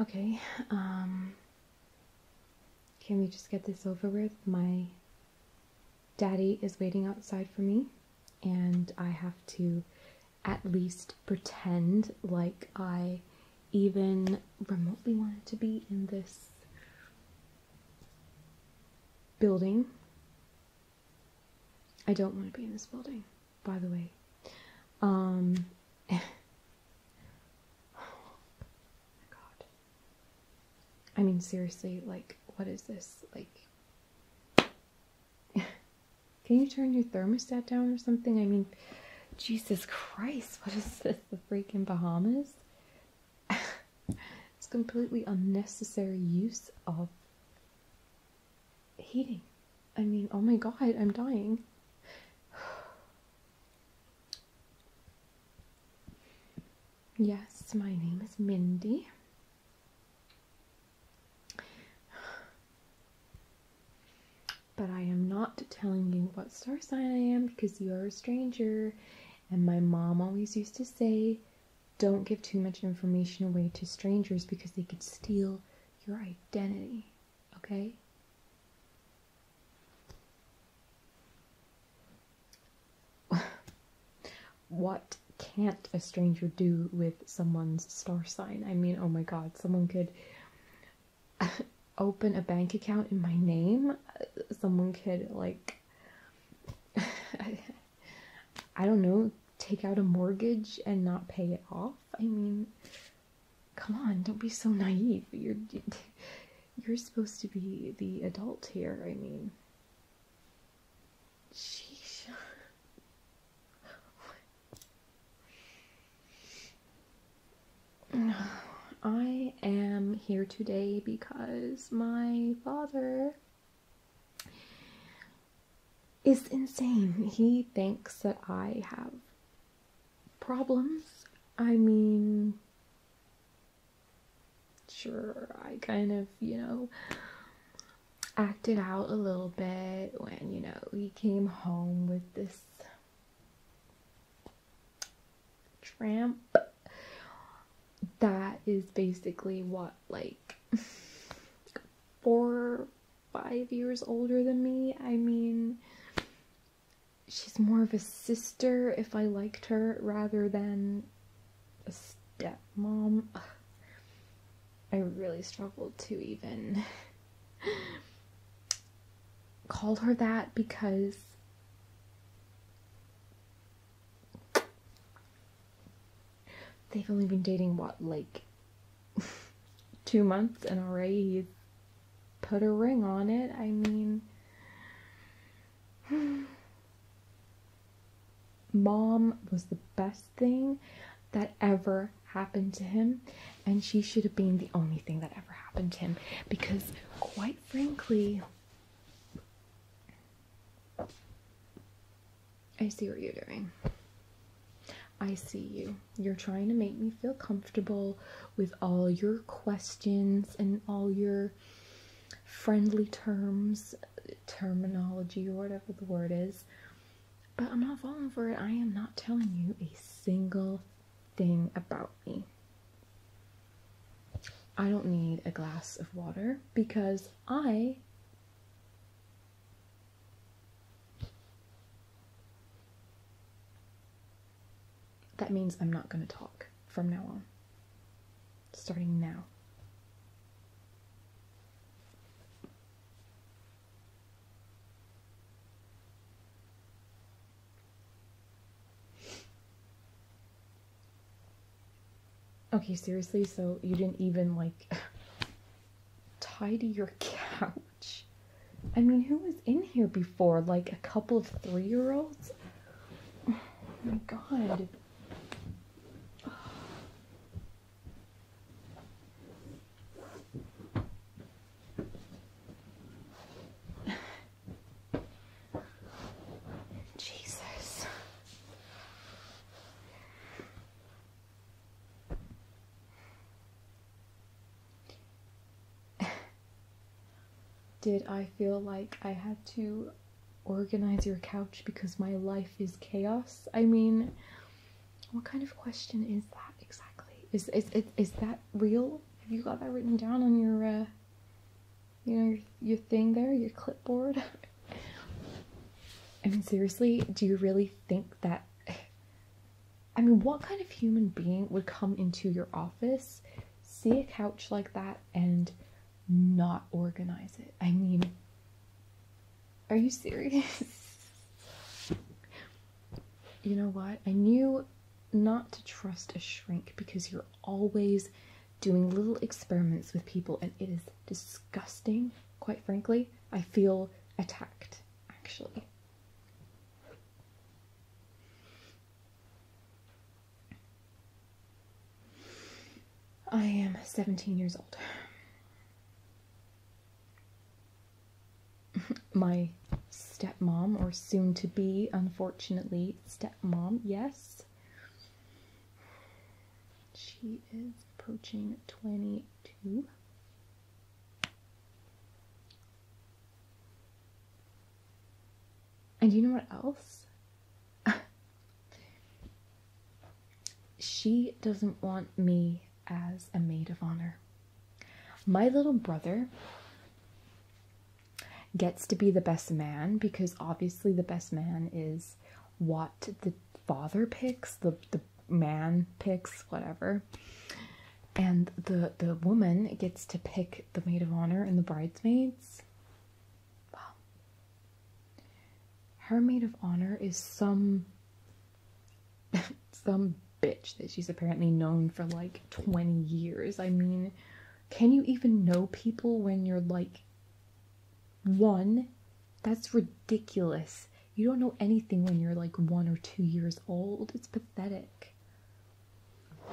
Okay, um, can we just get this over with? My Daddy is waiting outside for me, and I have to at least pretend like I even remotely wanted to be in this building. I don't want to be in this building, by the way. Um. Oh my god. I mean, seriously, like, what is this? Like, can you turn your thermostat down or something? I mean, Jesus Christ, what is this? The freaking Bahamas? it's completely unnecessary use of heating. I mean, oh my god, I'm dying. yes, my name is Mindy. But I am not telling you what star sign I am because you are a stranger. And my mom always used to say, don't give too much information away to strangers because they could steal your identity. Okay? what can't a stranger do with someone's star sign? I mean, oh my god, someone could open a bank account in my name. Someone could, like, I don't know, take out a mortgage and not pay it off. I mean, come on, don't be so naive. You're you're supposed to be the adult here. I mean, Sheesh. I am here today because my father is insane. He thinks that I have problems. I mean, sure, I kind of, you know, acted out a little bit when you know he came home with this tramp that is basically what like four five years older than me i mean she's more of a sister if i liked her rather than a stepmom. I really struggled to even call her that because they've only been dating what like two months and already he's put a ring on it i mean mom was the best thing that ever happened to him, and she should have been the only thing that ever happened to him because, quite frankly, I see what you're doing. I see you. You're trying to make me feel comfortable with all your questions and all your friendly terms, terminology, or whatever the word is. But I'm not falling for it. I am not telling you a single thing about me. I don't need a glass of water because I That means I'm not going to talk from now on. Starting now. Okay, seriously, so you didn't even like tidy your couch. I mean, who was in here before? Like a couple of three year olds? Oh my god. Jesus. Did I feel like I had to organize your couch because my life is chaos? I mean, what kind of question is that exactly? Is is is, that real? Have you got that written down on your uh, you know your thing there, your clipboard? I mean seriously, do you really think that I mean what kind of human being would come into your office, see a couch like that and not organize it? I mean are you serious? you know what? I knew not to trust a shrink because you're always doing little experiments with people and it is disgusting, quite frankly. I feel attacked, actually. I am 17 years old. my stepmom, or soon to be, unfortunately, stepmom, yes. She is approaching 22. And you know what else? She doesn't want me as a maid of honor. My little brother gets to be the best man because obviously the best man is what the father picks, the, the man picks, whatever. And the the woman gets to pick the maid of honor and the bridesmaids. Well, her maid of honor is some some bitch that she's apparently known for like 20 years. I mean, can you even know people when you're like one? That's ridiculous. You don't know anything when you're like one or two years old. It's pathetic.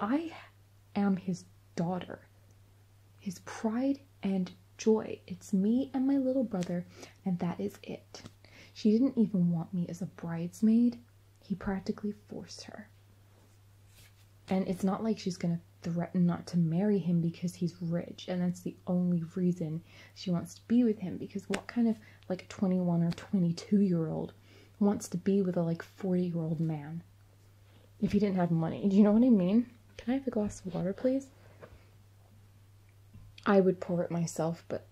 I am his daughter, his pride and joy. It's me and my little brother, and that is it. She didn't even want me as a bridesmaid. He practically forced her. And it's not like she's going to threaten not to marry him because he's rich, and that's the only reason she wants to be with him. Because what kind of like 21 or 22 year old wants to be with a like 40 year old man if he didn't have money? Do you know what I mean? Can I have a glass of water, please? I would pour it myself, but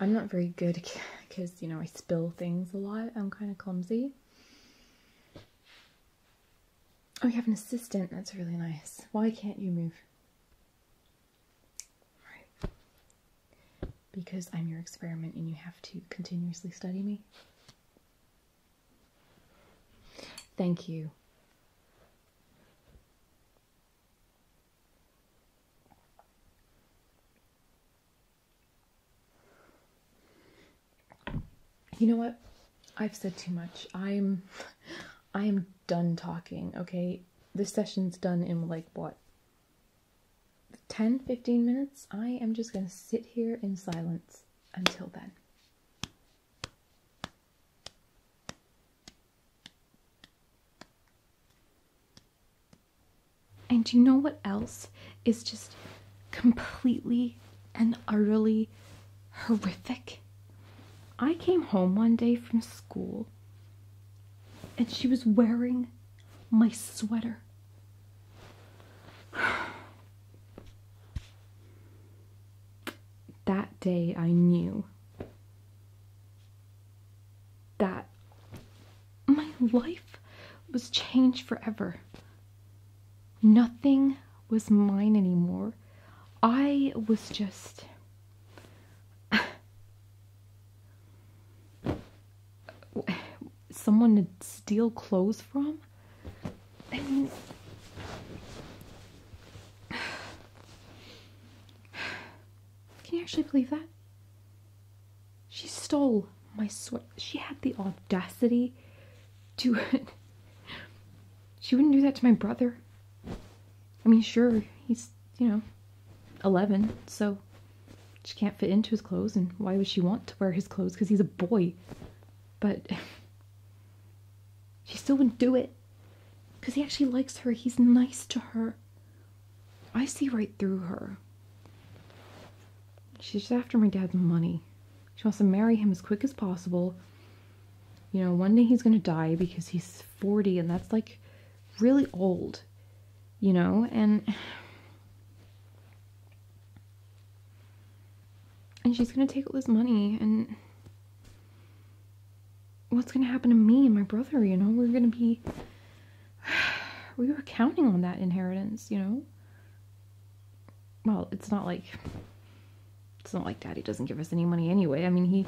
I'm not very good because, you know, I spill things a lot. I'm kind of clumsy. Oh, you have an assistant. That's really nice. Why can't you move? Because I'm your experiment and you have to continuously study me. Thank you. You know what? I've said too much. I'm I am done talking, okay? This session's done in like what? 10 15 minutes? I am just going to sit here in silence until then. And you know what else is just completely and utterly horrific? I came home one day from school and she was wearing my sweater. that day I knew that my life was changed forever. Nothing was mine anymore. I was just. Someone to steal clothes from? Can you actually believe that? She stole my sweat. She had the audacity to. she wouldn't do that to my brother. I mean, sure, he's, you know, 11, so she can't fit into his clothes, and why would she want to wear his clothes? Because he's a boy. But she still wouldn't do it. Because he actually likes her, he's nice to her. I see right through her. She's after my dad's money. She wants to marry him as quick as possible. You know, one day he's going to die because he's 40 and that's like really old, you know, and and she's going to take all this money and what's gonna happen to me and my brother, you know? We're gonna be. we were counting on that inheritance, you know? Well, it's not like. It's not like daddy doesn't give us any money anyway. I mean, he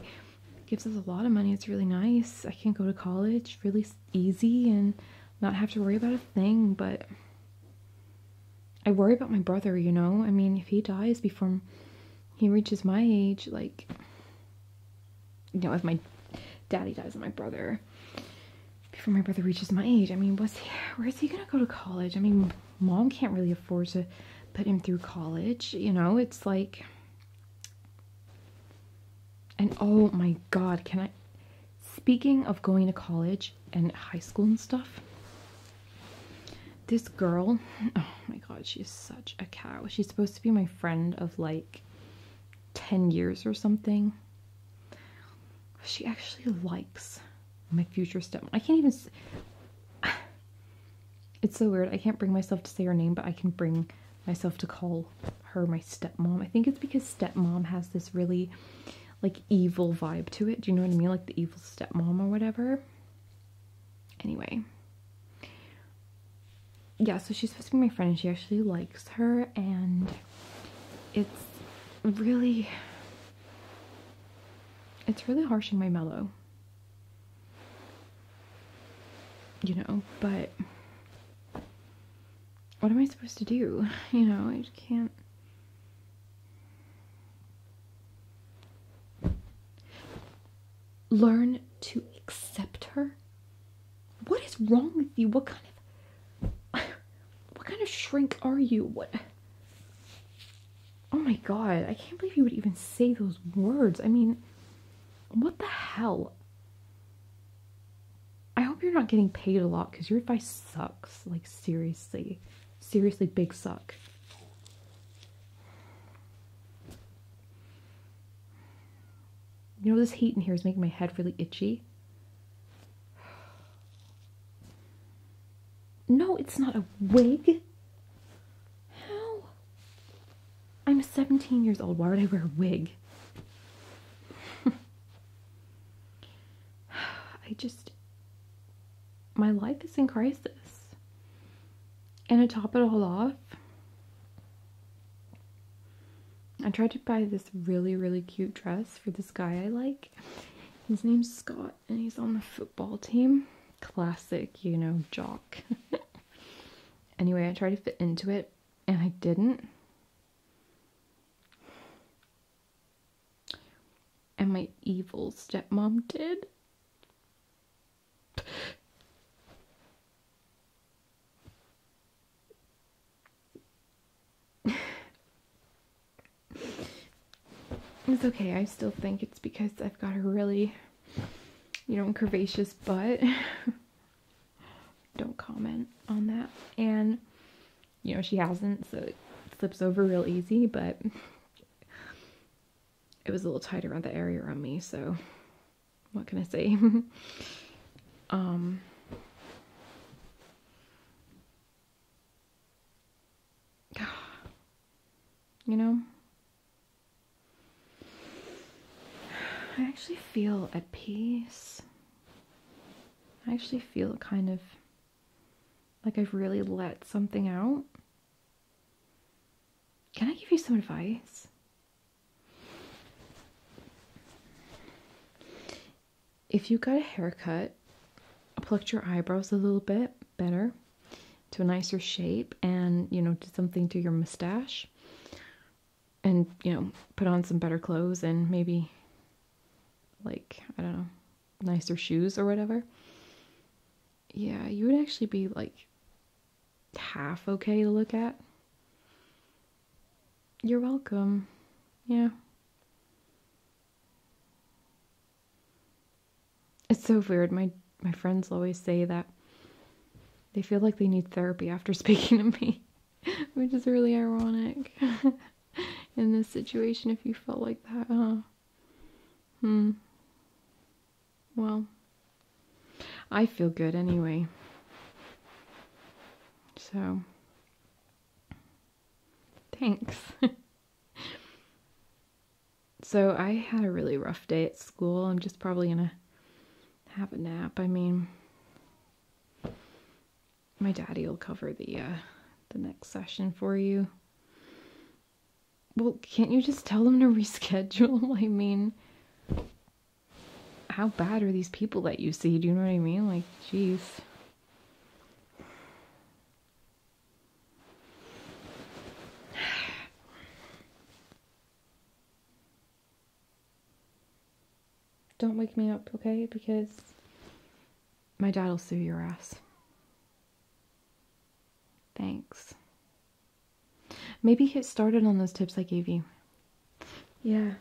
gives us a lot of money. It's really nice. I can go to college really easy and not have to worry about a thing, but. I worry about my brother, you know? I mean, if he dies before he reaches my age, like you know, if my daddy dies and my brother, before my brother reaches my age, I mean, what's he, where is he gonna go to college? I mean, mom can't really afford to put him through college, you know, it's like, and oh my god, can I, speaking of going to college and high school and stuff, this girl, oh my god, she's such a cow. She's supposed to be my friend of like 10 years or something. She actually likes my future stepmom. I can't even. It's so weird. I can't bring myself to say her name, but I can bring myself to call her my stepmom. I think it's because stepmom has this really like evil vibe to it. Do you know what I mean? Like the evil stepmom or whatever. Anyway, yeah, so she's supposed to be my friend and she actually likes her, and it's really it's really harshing my mellow. You know, but what am I supposed to do? You know, I just can't learn to accept her? What is wrong with you? What kind of what kind of shrink are you? What Oh my god, I can't believe you would even say those words. I mean, what the hell? I hope you're not getting paid a lot because your advice sucks. Like, seriously. Seriously, big suck. You know, this heat in here is making my head really itchy. No, it's not a wig. How? I'm 17 years old. Why would I wear a wig? I just. My life is in crisis. And to top it all off, I tried to buy this really, really cute dress for this guy I like. His name's Scott, and he's on the football team. Classic, you know, jock. anyway, I tried to fit into it, and I didn't. And my evil stepmom did it's okay, I still think it's because I've got a really, you know, curvaceous butt. Don't comment on that. And, you know, she hasn't, so it slips over real easy, but it was a little tight around the area around me, so what can I say? Um, you know, I actually feel at peace. I actually feel kind of like I've really let something out. Can I give you some advice? If you got a haircut, plucked your eyebrows a little bit better to a nicer shape and, you know, did something to your mustache and, you know, put on some better clothes and maybe like, I don't know, nicer shoes or whatever. Yeah, you would actually be like half okay to look at. You're welcome. Yeah. It's so weird. My my friends always say that they feel like they need therapy after speaking to me, which is really ironic. In this situation, if you felt like that, huh? Hmm. Well, I feel good anyway. So, thanks. so, I had a really rough day at school. I'm just probably gonna have a nap. I mean, my daddy will cover the uh, the next session for you. Well, can't you just tell them to reschedule? I mean, how bad are these people that you see? Do you know what I mean? Like, jeez. Don't wake me up, okay? Because my dad will sue your ass. Thanks. Maybe get started on those tips I gave you. Yeah.